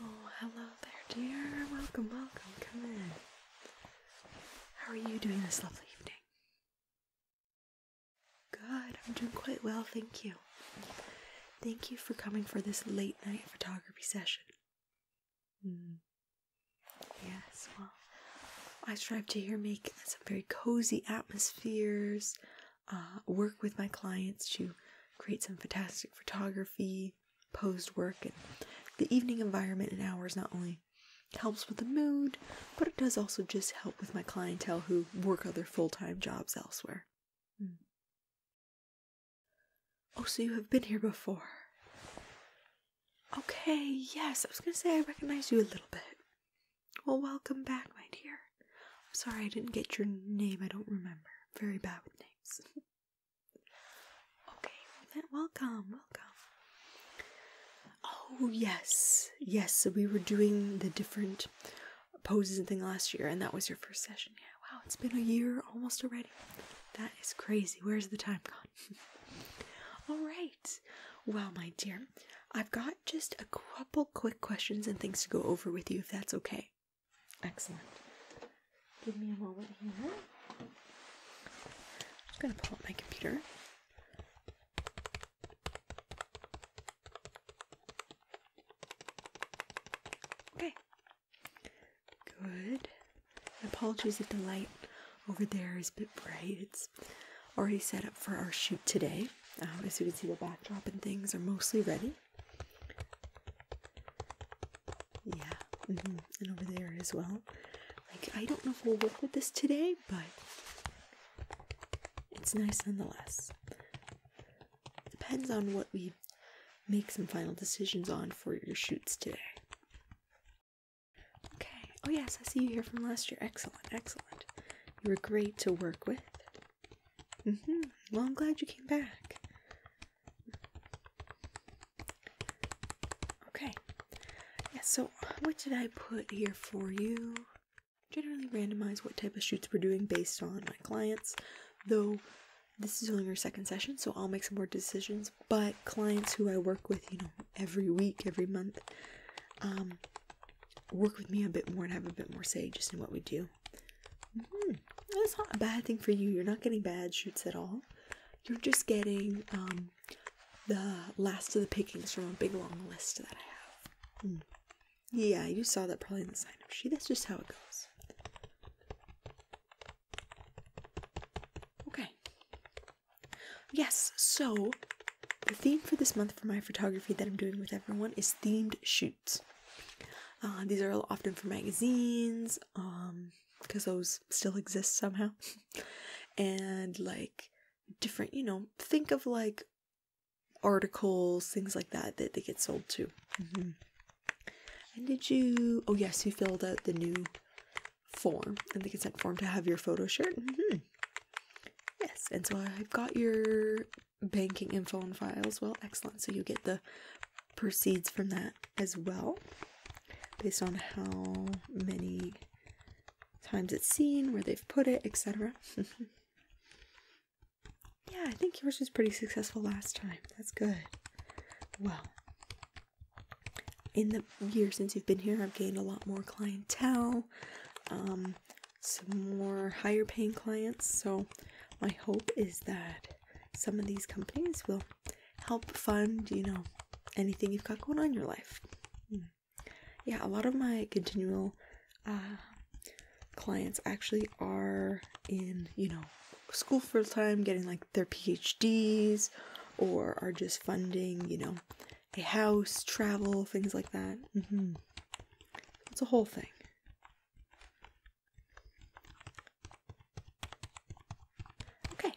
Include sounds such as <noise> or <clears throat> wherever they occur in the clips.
Oh, hello there, dear. Welcome, welcome. Come in. How are you doing this lovely evening? Good. I'm doing quite well, thank you. Thank you for coming for this late night photography session. Mm. Yes, well, I strive to here make some very cozy atmospheres, uh, work with my clients to create some fantastic photography, posed work, and the evening environment and hours not only helps with the mood, but it does also just help with my clientele who work other full time jobs elsewhere. Hmm. Oh, so you have been here before. Okay, yes, I was gonna say I recognize you a little bit. Well, welcome back, my dear. sorry I didn't get your name, I don't remember very bad with names. <laughs> okay, well, welcome, welcome. Oh, yes, yes, so we were doing the different poses and thing last year, and that was your first session. Yeah, wow, it's been a year almost already. That is crazy. Where's the time gone? <laughs> All right. Well, my dear, I've got just a couple quick questions and things to go over with you if that's okay. Excellent. Give me a moment here. I'm going to pull up my computer. Okay. Good. Apologies if the light over there is a bit bright. It's already set up for our shoot today. Um, as you can see, the backdrop and things are mostly ready. Yeah, mm-hmm, and over there as well. Like, I don't know if we'll work with this today, but it's nice nonetheless. Depends on what we make some final decisions on for your shoots today. Okay. Oh, yes, I see you here from last year. Excellent, excellent. You were great to work with hmm Well, I'm glad you came back. Okay. Yeah, so what did I put here for you? Generally randomize what type of shoots we're doing based on my clients, though this is only our second session, so I'll make some more decisions. But clients who I work with, you know, every week, every month, um, work with me a bit more and have a bit more say just in what we do. Mm mm-hmm. That's not a bad thing for you. You're not getting bad shoots at all. You're just getting um, the last of the pickings from a big long list that I have. Mm. Yeah, you saw that probably in the sign up sheet. That's just how it goes. Okay. Yes, so the theme for this month for my photography that I'm doing with everyone is themed shoots. Uh, these are often for magazines, because um, those still exist somehow. <laughs> and like different, you know, think of like articles, things like that that they get sold to. Mm-hmm. And did you? Oh yes, you filled out the new form and the consent form to have your photo shared. Mm-hmm. Yes, and so I've got your banking info and files. Well, excellent. So you get the proceeds from that as well, based on how many times it's seen, where they've put it, etc. <laughs> yeah, I think yours was pretty successful last time. That's good. Well, in the year since you've been here, I've gained a lot more clientele, um, some more higher paying clients. So, my hope is that some of these companies will help fund, you know, anything you've got going on in your life. Hmm. Yeah, a lot of my continual uh, clients actually are in, you know, school full time, getting like their PhDs, or are just funding, you know, a house, travel, things like that. Mm-hmm. It's a whole thing. Okay,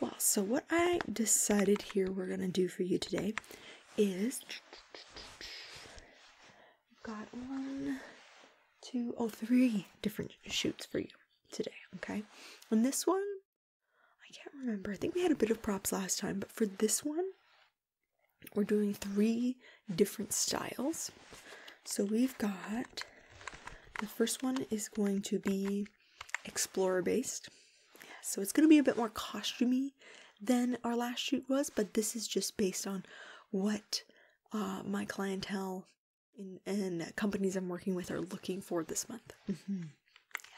well, so what I decided here we're gonna do for you today is got one, two, oh, three different shoots for you today, okay? And this one, I can't remember. I think we had a bit of props last time, but for this one, we're doing three different styles. So we've got the first one is going to be explorer based. So it's going to be a bit more costumey than our last shoot was, but this is just based on what uh, my clientele and, companies I'm working with are looking for this month. Mm-hmm.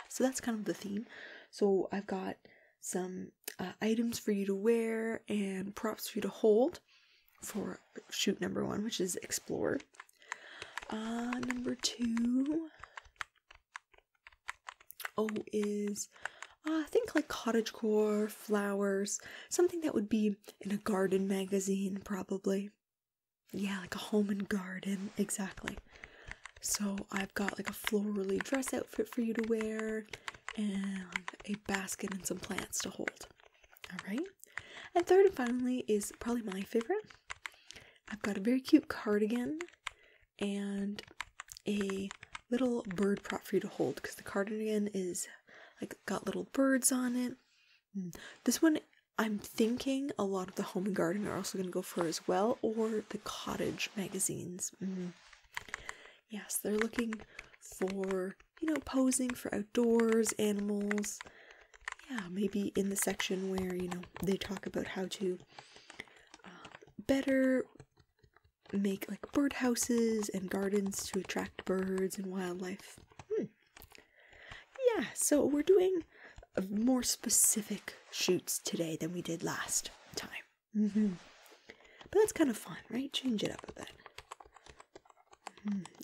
so that's kind of the theme. So I've got some uh, items for you to wear and props for you to hold for shoot number one, which is explore. Uh, number two, oh, is uh, think like cottagecore, flowers, something that would be in a garden magazine, probably. Yeah, like a home and garden, exactly. So I've got like a florally dress outfit for you to wear and a basket and some plants to hold. All right. And third and finally is probably my favorite. I've got a very cute cardigan and a little bird prop for you to hold because the cardigan is like got little birds on it. Hmm. This one I'm thinking a lot of the home and garden are also going to go for as well, or the cottage magazines. Mm-hmm. Yes, they're looking for you know, posing for outdoors, animals. Yeah, maybe in the section where, you know, they talk about how to uh, better make like birdhouses and gardens to attract birds and wildlife. Hmm. Yeah, so we're doing uh, more specific shoots today than we did last time. Mm-hmm. But that's kind of fun, right? Change it up a bit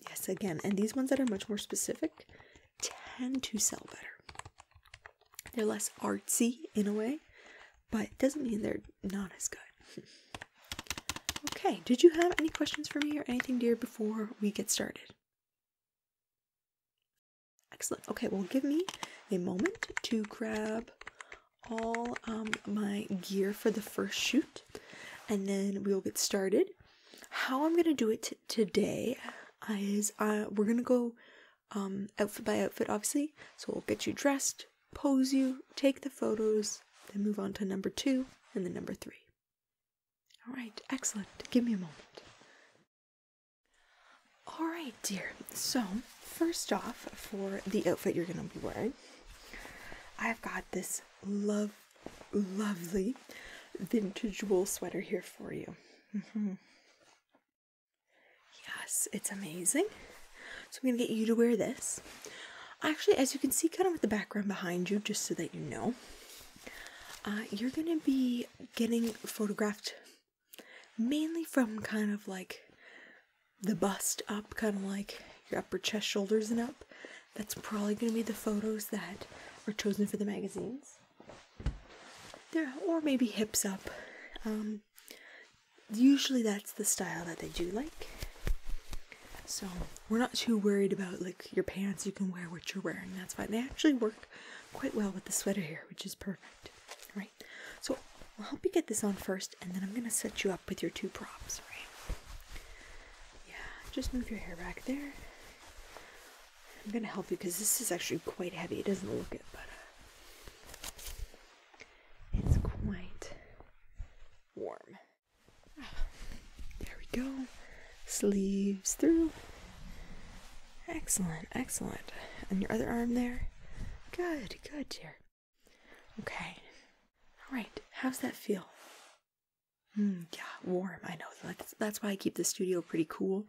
yes, again, and these ones that are much more specific tend to sell better. They're less artsy in a way, but it doesn't mean they're not as good. <laughs> okay, did you have any questions for me or anything, dear, before we get started? Excellent. Okay, well, give me a moment to grab all um, my gear for the first shoot and then we will get started. How I'm gonna do it today is uh, we're gonna go um, outfit by outfit, obviously. So we'll get you dressed, pose you, take the photos, then move on to number two and then number three. All right, excellent. Give me a moment. All right, dear. So, first off, for the outfit you're going to be wearing, I've got this love, lovely vintage wool sweater here for you. Mm-hmm. Yes, it's amazing. So I'm going to get you to wear this. Actually, as you can see, kind of with the background behind you, just so that you know, uh, you're going to be getting photographed mainly from kind of like the bust up, kind of like your upper chest, shoulders, and up. That's probably going to be the photos that are chosen for the magazines. There, or maybe hips up. Um, usually that's the style that they do like. So we're not too worried about like your pants. You can wear what you're wearing. That's fine. They actually work quite well with the sweater here, which is perfect. All right. So I'll help you get this on first and then I'm gonna set you up with your two props, right? Yeah, just move your hair back there. I'm gonna help you because this is actually quite heavy. It doesn't look it, but uh, it's quite warm. There we go. Sleeves through. Excellent, excellent. And your other arm there. Good, good, dear. Okay. All right. How's that feel? Hmm, yeah, warm. I know. That's, that's why I keep the studio pretty cool,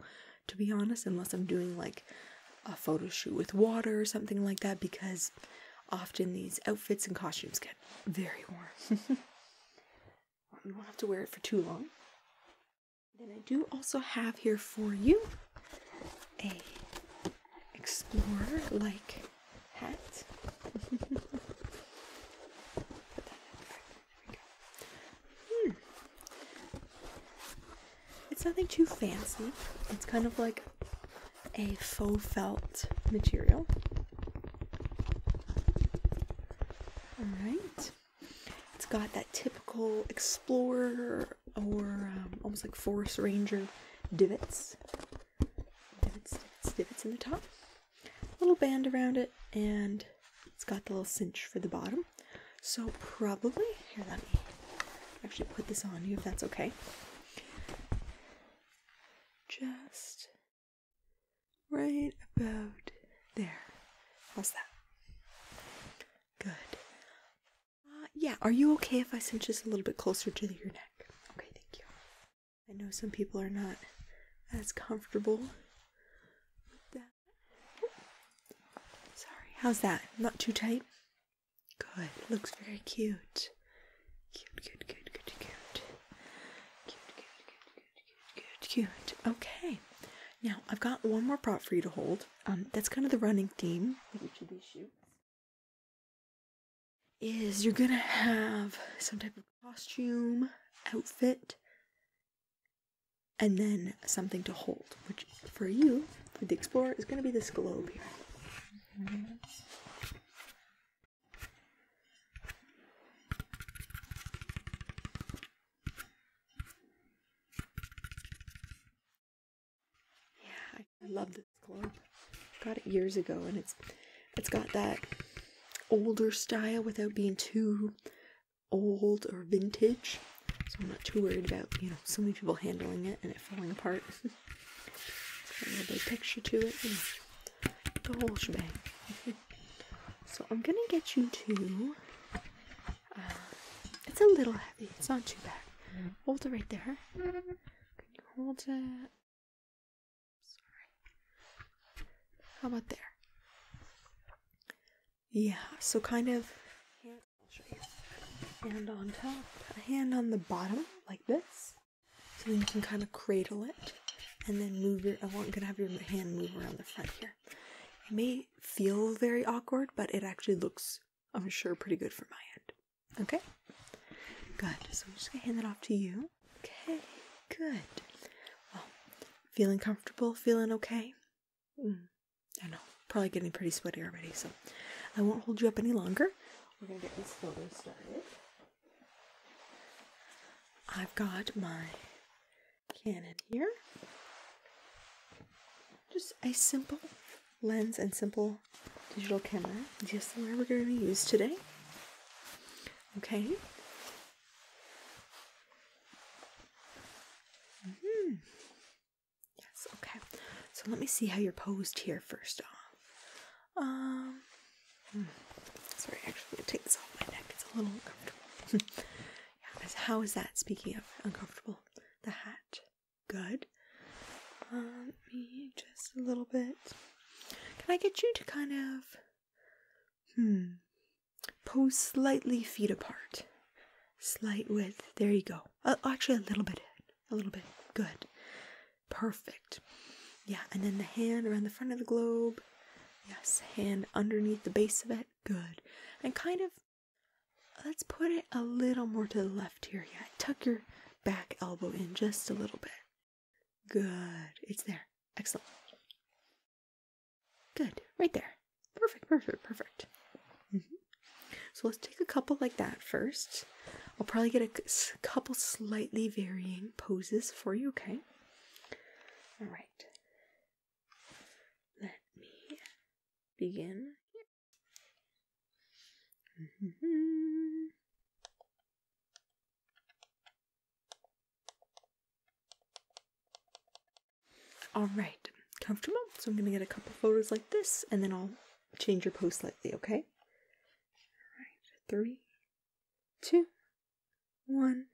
to be honest, unless I'm doing like a photo shoot with water or something like that, because often these outfits and costumes get very warm. <laughs> you won't have to wear it for too long. Then I do also have here for you a explorer like hat. <laughs> Hmm. It's nothing too fancy. It's kind of like a faux felt material. Alright. It's got that typical explorer or um, almost like forest ranger divots divots, in the top, little band around it, and it's got the little cinch for the bottom. So probably, here let me should put this on you if that's okay. Just right about there. How's that? Good. Uh, yeah, are you okay if I cinch this a little bit closer to your neck? Okay, thank you. I know some people are not as comfortable with that. Sorry, how's that? Not too tight? Good, looks very cute. Cute, cute, cute, cute, cute. Cute, cute, cute, cute, cute, cute. Okay. Now, I've got one more prop for you to hold. Um, that's kind of the running theme of each of these shoes is you're gonna have some type of costume, outfit, and then something to hold, which for you, for the explorer, is gonna be this globe here. Yeah, I love it. Club. Got it years ago, and it's it's got that older style without being too old or vintage. So I'm not too worried about you know so many people handling it and it falling apart. <laughs> a little bit picture to it, the whole shebang. <laughs> so I'm gonna get you to. Uh, it's a little heavy. It's not too bad. Hold it right there. Can you hold it? How about there? Yeah, so kind of Hand on top, a hand on the bottom, like this. So then you can kind of cradle it and then move your I want gonna have your hand move around the front here. It may feel very awkward, but it actually looks, I'm sure, pretty good for my end. Okay? Good. So I'm just gonna hand that off to you. Okay, good. Well, feeling comfortable? Feeling okay? Mm, I know, probably getting pretty sweaty already, so I won't hold you up any longer. We're gonna get this photo started. I've got my Canon here. Just a simple lens and simple digital camera, just the one we're going to use today. Okay. -hmm. Yes, okay. So let me see how you're posed here first off. Um, hmm. sorry, actually, I'm take this off my neck. It's a little uncomfortable. <laughs> yeah, how is that? Speaking of uncomfortable, the hat. Good. Um, me just a little bit. Can I get you to kind of, hmm, pose slightly feet apart? Slight width. There you go. Uh, actually, a little bit A little bit. Good. Perfect. Yeah, and then the hand around the front of the globe. Yes, hand underneath the base of it. Good. And kind of, let's put it a little more to the left here. Yeah, tuck your back elbow in just a little bit. Good. It's there. Excellent. Good. Right there. Perfect, perfect, perfect. Mm-hmm. So let's take a couple like that first. I'll probably get a couple slightly varying poses for you, okay? All right. Let me begin. Mm-hmm. All right, comfortable. So I'm gonna get a couple photos like this, and then I'll change your pose slightly. Okay. three, two, one.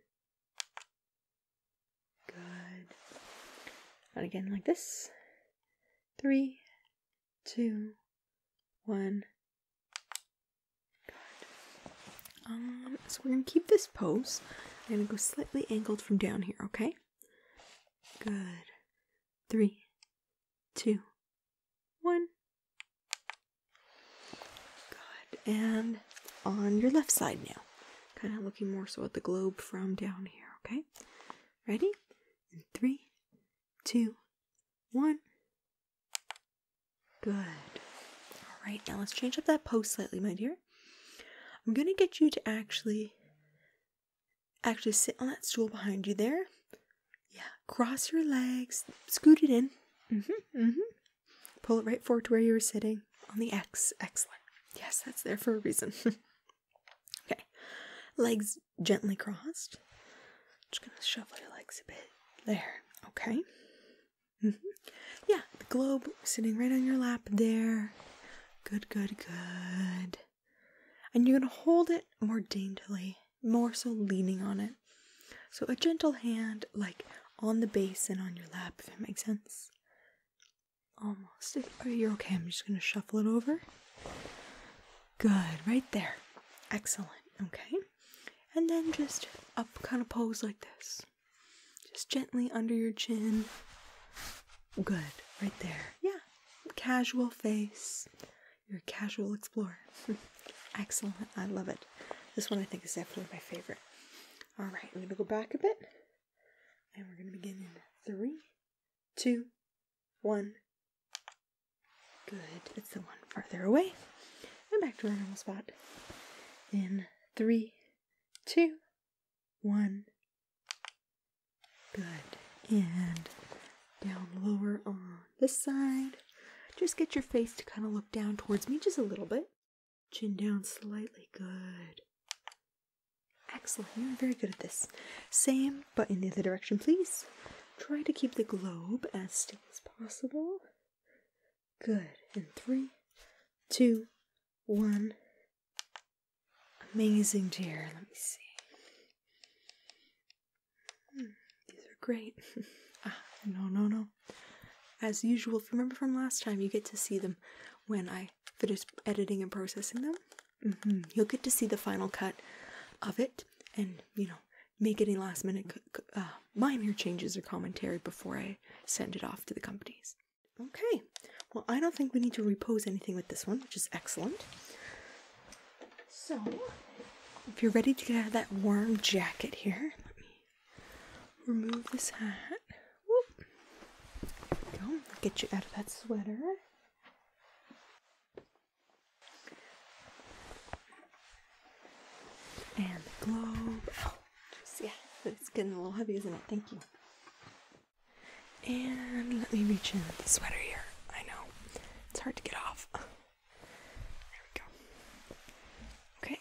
Good. And again, like this. Three, two, one. Um, so we're gonna keep this pose. I'm gonna go slightly angled from down here, okay? Good. Three, two, one. Good. And on your left side now. Kind of looking more so at the globe from down here, okay? Ready? And three, two, one. Good. All right, now let's change up that pose slightly, my dear. I'm going to get you to actually actually sit on that stool behind you there. Yeah, cross your legs, scoot it in. Mm-hmm, mm-hmm. Pull it right forward to where you were sitting on the X. Excellent. Yes, that's there for a reason. <laughs> okay. Legs gently crossed just gonna shuffle your legs a bit. There, okay? Mm-hmm. Yeah, the globe sitting right on your lap there. Good, good, good. And you're gonna hold it more daintily, more so leaning on it. So a gentle hand, like on the base and on your lap, if it makes sense. Almost. Are you okay? I'm just gonna shuffle it over. Good, right there. Excellent. Okay and then just up kind of pose like this just gently under your chin good right there yeah casual face you're a casual explorer <laughs> excellent i love it this one i think is definitely my favorite all right i'm gonna go back a bit and we're gonna begin in three two one Good. It's the one farther away. And back to our normal spot. In three, two, one. Good. And down lower on this side. Just get your face to kind of look down towards me just a little bit. Chin down slightly. Good. Excellent. You're very good at this. Same, but in the other direction, please. Try to keep the globe as still as possible. Good. And three, two, one. Amazing chair. Let me see. Hmm, these are great. <laughs> Ah, no, no, no. As usual, remember from last time, you get to see them when I finish editing and processing them. Mm-hmm. You'll get to see the final cut of it and, you know, make any last minute uh, minor changes or commentary before I send it off to the companies. Okay, well, I don't think we need to repose anything with this one, which is excellent. So, if you're ready to get out of that warm jacket here, let me remove this hat. Whoop. Get you out of that sweater. And the globe. Oh, yeah, it's getting a little heavy, isn't it? Thank you. And let me reach in the sweater here. I know, it's hard to get off. There we go. Okay,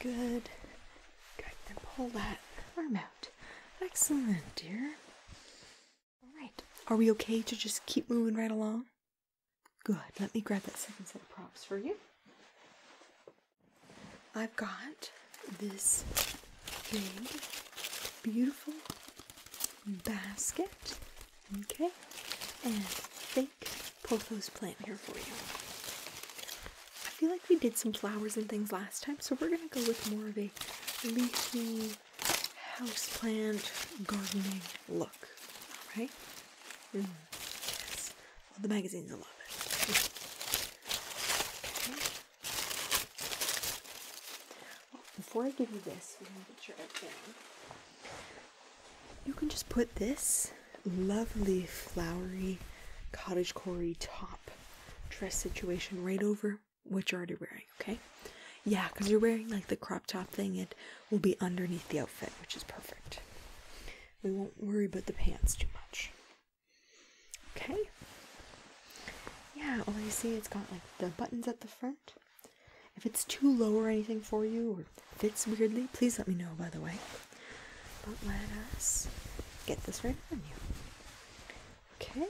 good. Good, and pull that arm out. Excellent, dear. All right, are we okay to just keep moving right along? Good. Let me grab that second set of props for you. I've got this big, beautiful basket. Okay. And fake pothos plant here for you. I feel like we did some flowers and things last time, so we're going to go with more of a leafy house plant gardening look book, all right? yes. Well, the magazine's a little bit. Okay. before I give you this, You can just put this lovely flowery cottage cory top dress situation right over what you're already wearing, okay? Yeah, because you're wearing like the crop top thing and will be underneath the outfit, which is perfect. We won't worry about the pants too much. Okay. Yeah, all you see, it's got like the buttons at the front. If it's too low or anything for you or fits weirdly, please let me know, by the way. But let us get this right on you. Okay.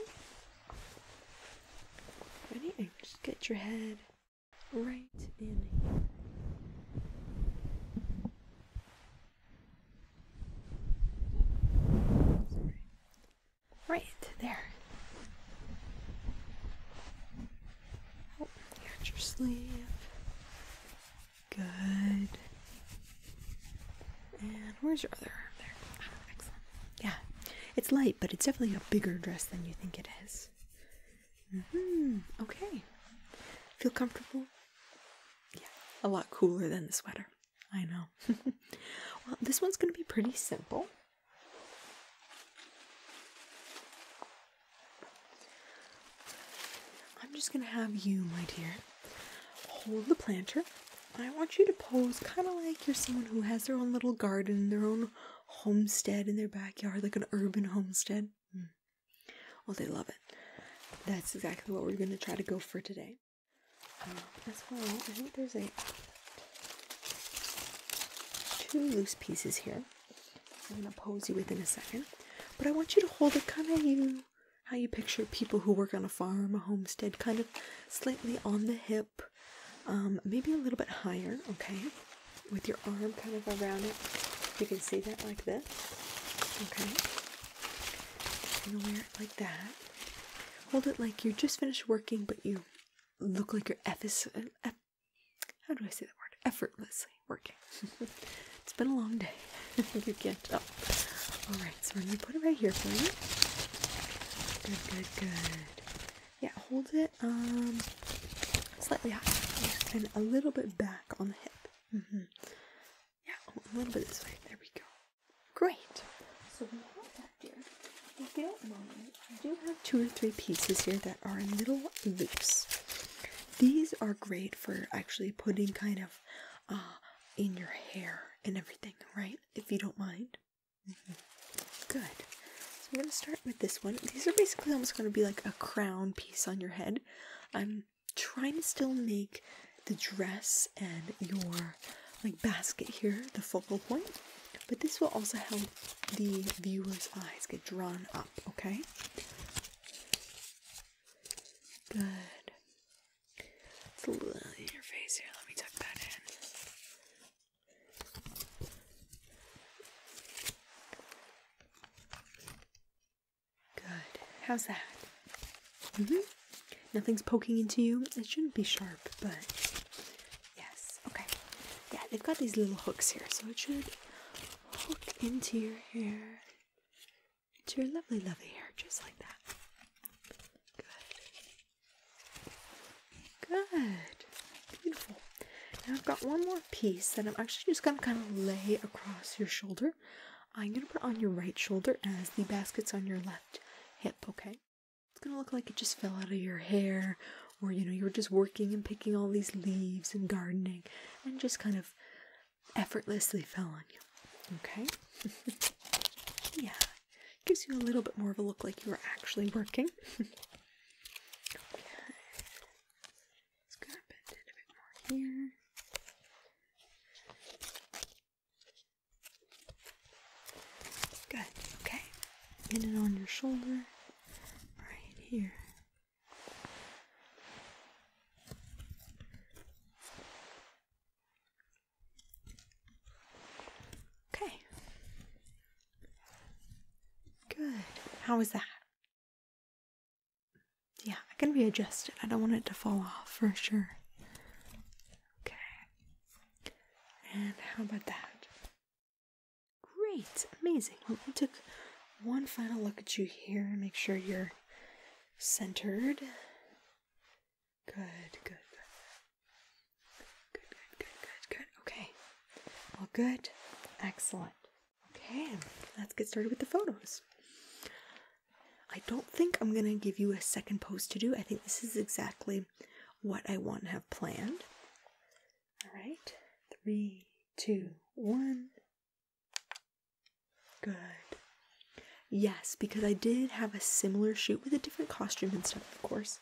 Ready? And just get your head right in here. Sorry. Right there. Oh, here's your sleeve. Good. And where's your other arm there? Ah, excellent. Yeah. It's light, but it's definitely a bigger dress than you think it is. Mm-hmm. Okay. Feel comfortable? Yeah, a lot cooler than the sweater. I know. <laughs> well, this one's going to be pretty simple. I'm just going to have you, my dear, hold the planter. I want you to pose kind of like you're someone who has their own little garden, their own homestead in their backyard, like an urban homestead. Hmm. Well, they love it. That's exactly what we're going to try to go for today. Um, as well, I think there's a two loose pieces here. I'm going to pose you within a second. But I want you to hold it kind of you, how you picture people who work on a farm, a homestead, kind of slightly on the hip, um, maybe a little bit higher, okay? with your arm kind of around it. You can see that like this. Okay. gonna wear it like that. Hold it like you just finished working, but you look like you're effic- eff how do I say that word? Effortlessly working. <laughs> it's been a long day. <laughs> you can't All right, so we're gonna put it right here for you. Good, good, good yeah, hold it um slightly high and a little bit back on the hip. Mm -hmm. Yeah, oh, a little bit this way. There we go. Great. So we have that, dear. If you don't mind, I do have two or three pieces here that are little loops. These are great for actually putting kind of uh, in your hair and everything, right? If you don't mind. Mm-hmm. Good. So I'm going to start with this one. These are basically almost going to be like a crown piece on your head. I'm trying to still make the dress and your like basket here the focal point, but this will also help the viewer's eyes get drawn up, okay? Good. It's a little in your face here. Let me tuck that in. Good. How's that? hmm. Nothing's poking into you. It shouldn't be sharp, but yes. Okay. Yeah, they've got these little hooks here, so it should hook into your hair, into your lovely, lovely hair, just like that. Good. Good. Beautiful. Now I've got one more piece that I'm actually just going to kind of lay across your shoulder. I'm going to put on your right shoulder as the basket's on your left hip, okay? It's going to look like it just fell out of your hair or, you know, you were just working and picking all these leaves and gardening and just kind of effortlessly fell on you, okay? <laughs> yeah. Gives you a little bit more of a look like you were actually working. <laughs> okay. Just going it a bit more here. Good, okay. Get it on your shoulder right here. Okay. Good. How was that? Yeah, I can readjust it. I don't want it to fall off for sure. Okay. And how about that? Great. Amazing. we took one final look at you here make sure you're centered. Good, good, good. Good, good, good, good, good. Okay. All good. Excellent. Okay, let's get started with the photos. I don't think I'm going to give you a second post to do. I think this is exactly what I want to have planned. All right, three, two, one. Good. Yes, because I did have a similar shoot with a different costume and stuff, of course,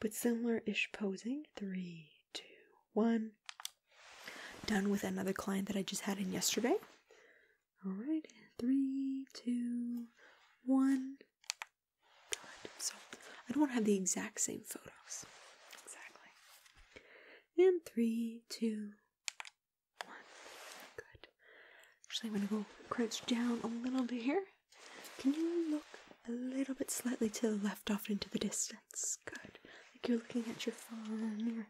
but similar ish posing. Three, two, one done with another client that I just had in yesterday. All right, three, two, one. Good. So I don't want to have the exact same photos. Exactly. And three, two, one. Good. Actually, I'm going to go crouch down a little bit here. Can you look a little bit slightly to the left off into the distance. Good. Like you're looking at your farm,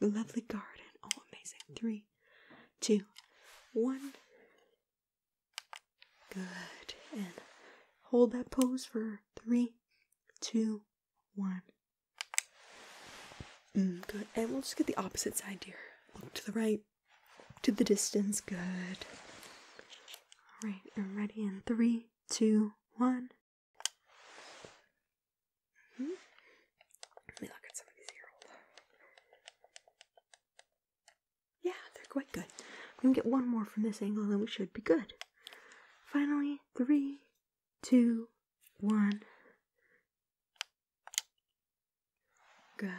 your lovely garden. Oh, amazing. Three, two, one. Good. And hold that pose for three, two, one. Mm, good. And we'll just get the opposite side here. Look to the right, to the distance. Good. All right. I'm ready in three, Two, one. Hmm? Let me look at some of these here. Hold Yeah, they're quite good. We can get one more from this angle, and we should be good. Finally, three, two, one. Good.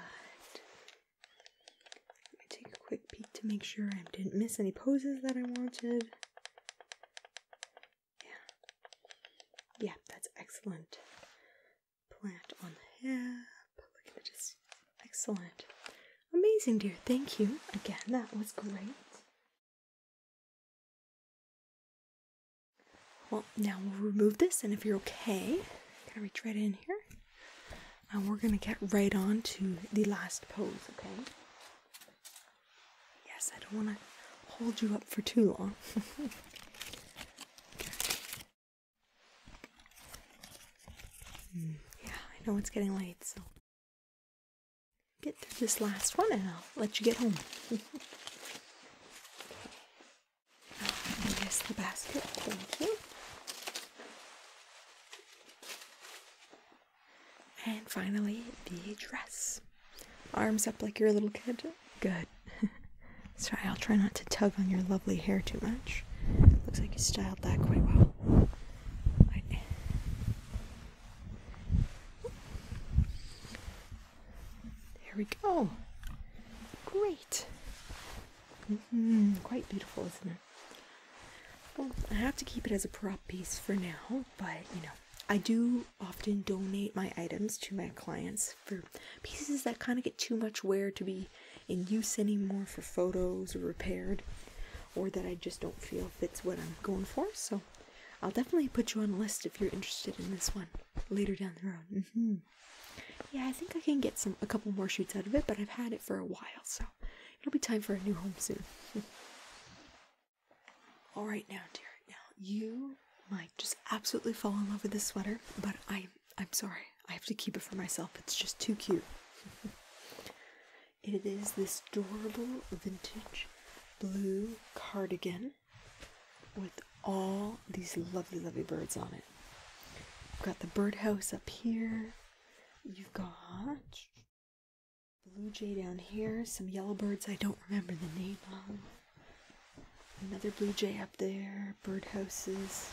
Let me take a quick peek to make sure I didn't miss any poses that I wanted. Yeah. Yeah, that's excellent. Plant on the hip. Look at this. Excellent. Amazing, dear. Thank you. Again, that was great. Well, now we'll remove this, and if you're okay, gonna reach right in here, and we're gonna get right on to the last pose, okay? Yes, I don't want to hold you up for too long. <laughs> yeah, I know it's getting late, so get through this last one and I'll let you get home. Here's <laughs> oh, the basket. Thank you. And finally, the dress. Arms up like you're a little kid. Good. <laughs> Sorry, I'll try not to tug on your lovely hair too much. Looks like you styled that quite well. There we go. Great. Mm-hmm. Quite beautiful, isn't it? I have to keep it as a prop piece for now, but you know, I do often donate my items to my clients for pieces that kind of get too much wear to be in use anymore for photos or repaired, or that I just don't feel fits what I'm going for. So, I'll definitely put you on a list if you're interested in this one later down the road. Mm-hmm. Yeah, I think I can get some a couple more shoots out of it, but I've had it for a while, so It'll be time for a new home soon. <laughs> All right, now, dear. Now, you might just absolutely fall in love with this sweater, but I'm I'm sorry. I have to keep it for myself. It's just too cute. <laughs> it is this adorable vintage blue cardigan with all these lovely, lovely birds on it. You've got the birdhouse up here. You've got Blue jay down here, some yellow birds I don't remember the name of. Another blue jay up there, birdhouses,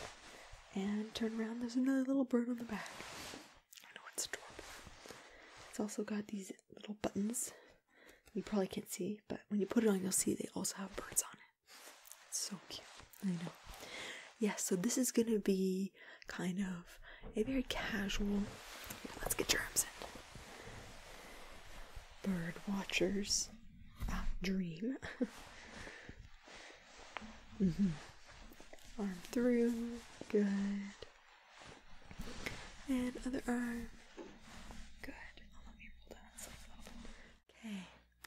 and turn around, there's another little bird on the back. I know it's adorable. It's also got these little buttons. You probably can't see, but when you put it on, you'll see they also have birds on it. It's so cute. I know. Yeah, so this is gonna be kind of a very casual, let's get germs in, bird watchers uh, dream. <laughs> Mm-hmm. Arm through, good. And other arm, good. Oh, okay,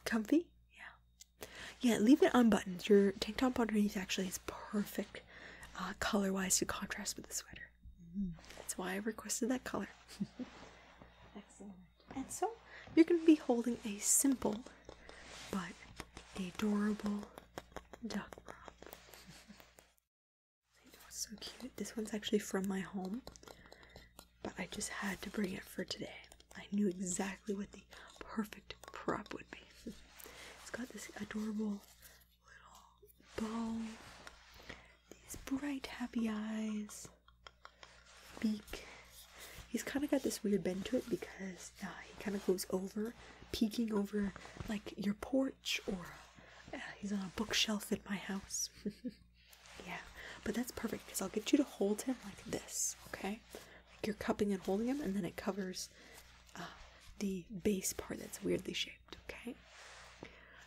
comfy. Yeah, yeah. Leave it unbuttoned. Your tank top underneath actually is perfect uh, color wise to contrast with the sweater. Mm-hmm. That's why I requested that color. <laughs> Excellent. And so you're going to be holding a simple but adorable duck prop. <laughs> so cute. This one's actually from my home, but I just had to bring it for today. I knew exactly what the perfect prop would be it's got this adorable little bow, these bright happy eyes, beak. He's kind of got this weird bend to it because uh, he kind of goes over, peeking over like your porch or uh, he's on a bookshelf at my house. <laughs> yeah, but that's perfect because I'll get you to hold him like this, okay? Like you're cupping and holding him, and then it covers the base part that's weirdly shaped, okay?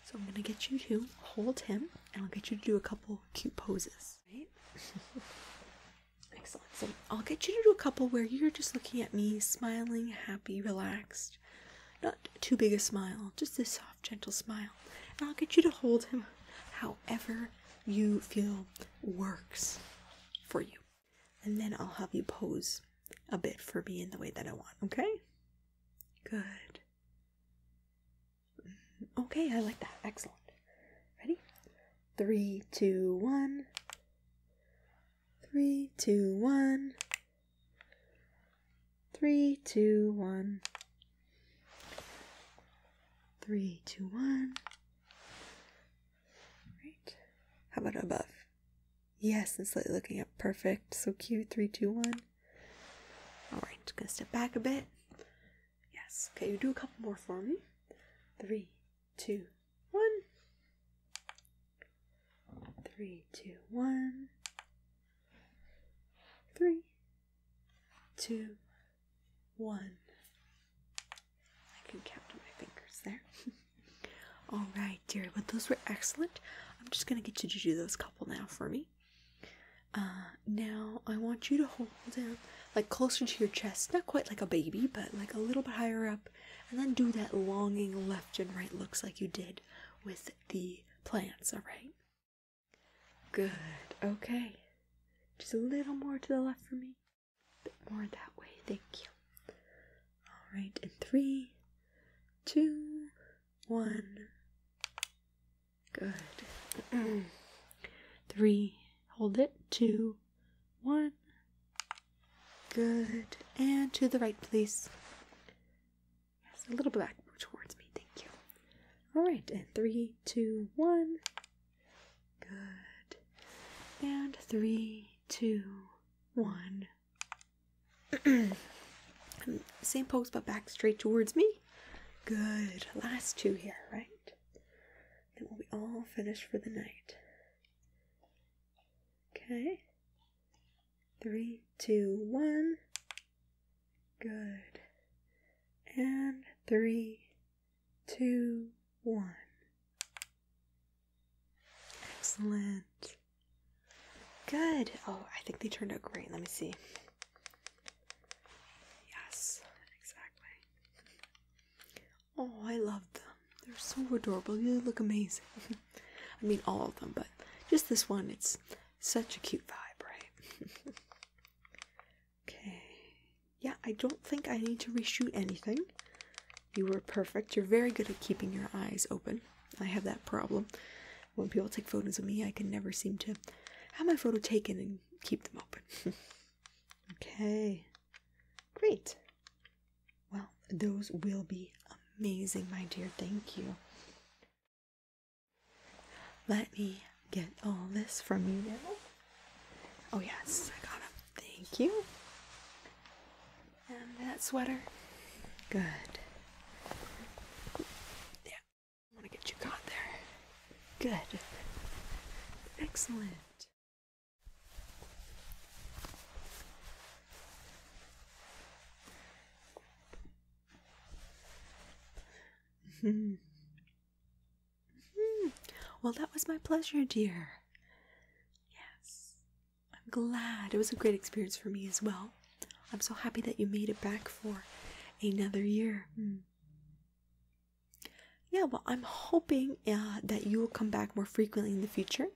So I'm gonna get you to hold him and I'll get you to do a couple cute poses, right? <laughs> Excellent. So I'll get you to do a couple where you're just looking at me, smiling, happy, relaxed. Not too big a smile, just a soft, gentle smile. And I'll get you to hold him however you feel works for you and then I'll have you pose a bit for me in the way that I want, okay? Good. Mm, okay, I like that. Excellent. Ready? Three, two, one. Three, two, one. Three, two, one. Three, two, one. Right. How about above? Yes, and slightly looking up. Perfect. So cute. Three, two, one. All right. Just gonna step back a bit. Yes. Okay. You do a couple more for me. Three, two, one. Three, two, one. Three, two, one. I can count on my fingers there. <laughs> All right, dearie, But those were excellent. I'm just gonna get you to do those couple now for me. Uh, now I want you to hold them like closer to your chest, not quite like a baby, but like a little bit higher up, and then do that longing left and right looks like you did with the plants. All right. Good. Okay. Just a little more to the left for me bit more that way. Thank you. All right, in three, two, one. Good. <clears throat> three, hold it. Two, one. Good. And to the right, please. Yes, a little bit back towards me. Thank you. All right, and three, two, one. Good. And three, two, one. <clears throat> Same pose, but back straight towards me. Good. Last two here, right? Then we'll be all finished for the night. Okay. Three, two, one. Good. And three, two, one. Excellent. Good. Oh, I think they turned out great. Let me see. Yes, exactly. Oh, I love them. They're so adorable. You look amazing. <laughs> I mean, all of them, but just this one, it's such a cute vibe, right? <laughs> okay. Yeah, I don't think I need to reshoot anything. You were perfect. You're very good at keeping your eyes open. I have that problem. When people take photos of me, I can never seem to have my photo taken and keep them open. <laughs> okay. Great. Well, those will be amazing, my dear. Thank you. Let me get all this from you now. Oh, yes, I got them. Thank you. And that sweater? Good. Yeah. I want to get you caught there. Good. Excellent. Hmm. Hmm. well, that was my pleasure, dear. Yes. I'm glad. It was a great experience for me as well. I'm so happy that you made it back for another year. Hmm. Yeah, well, I'm hoping uh, that you will come back more frequently in the future.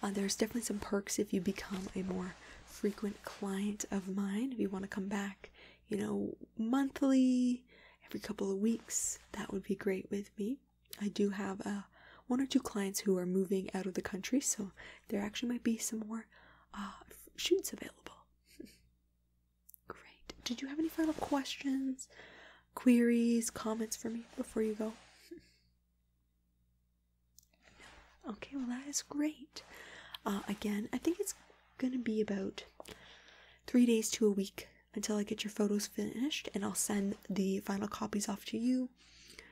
Uh, there's definitely some perks if you become a more frequent client of mine. If you want to come back, you know, monthly, every couple of weeks, that would be great with me. I do have uh, one or two clients who are moving out of the country, so there actually might be some more uh, shoots available. Great. Did you have any final questions, queries, comments for me before you go? Okay, well, that is great. Uh, again, I think it's going to be about three days to a week until I get your photos finished, and I'll send the final copies off to you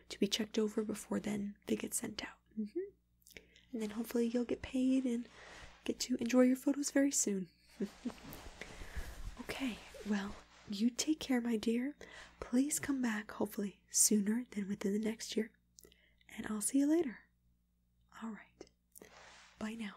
to be checked over before then they get sent out. Mm-hmm. And then hopefully you'll get paid and get to enjoy your photos very soon. <laughs> okay, well, you take care, my dear. Please come back, hopefully, sooner than within the next year. And I'll see you later. All right. Bye now.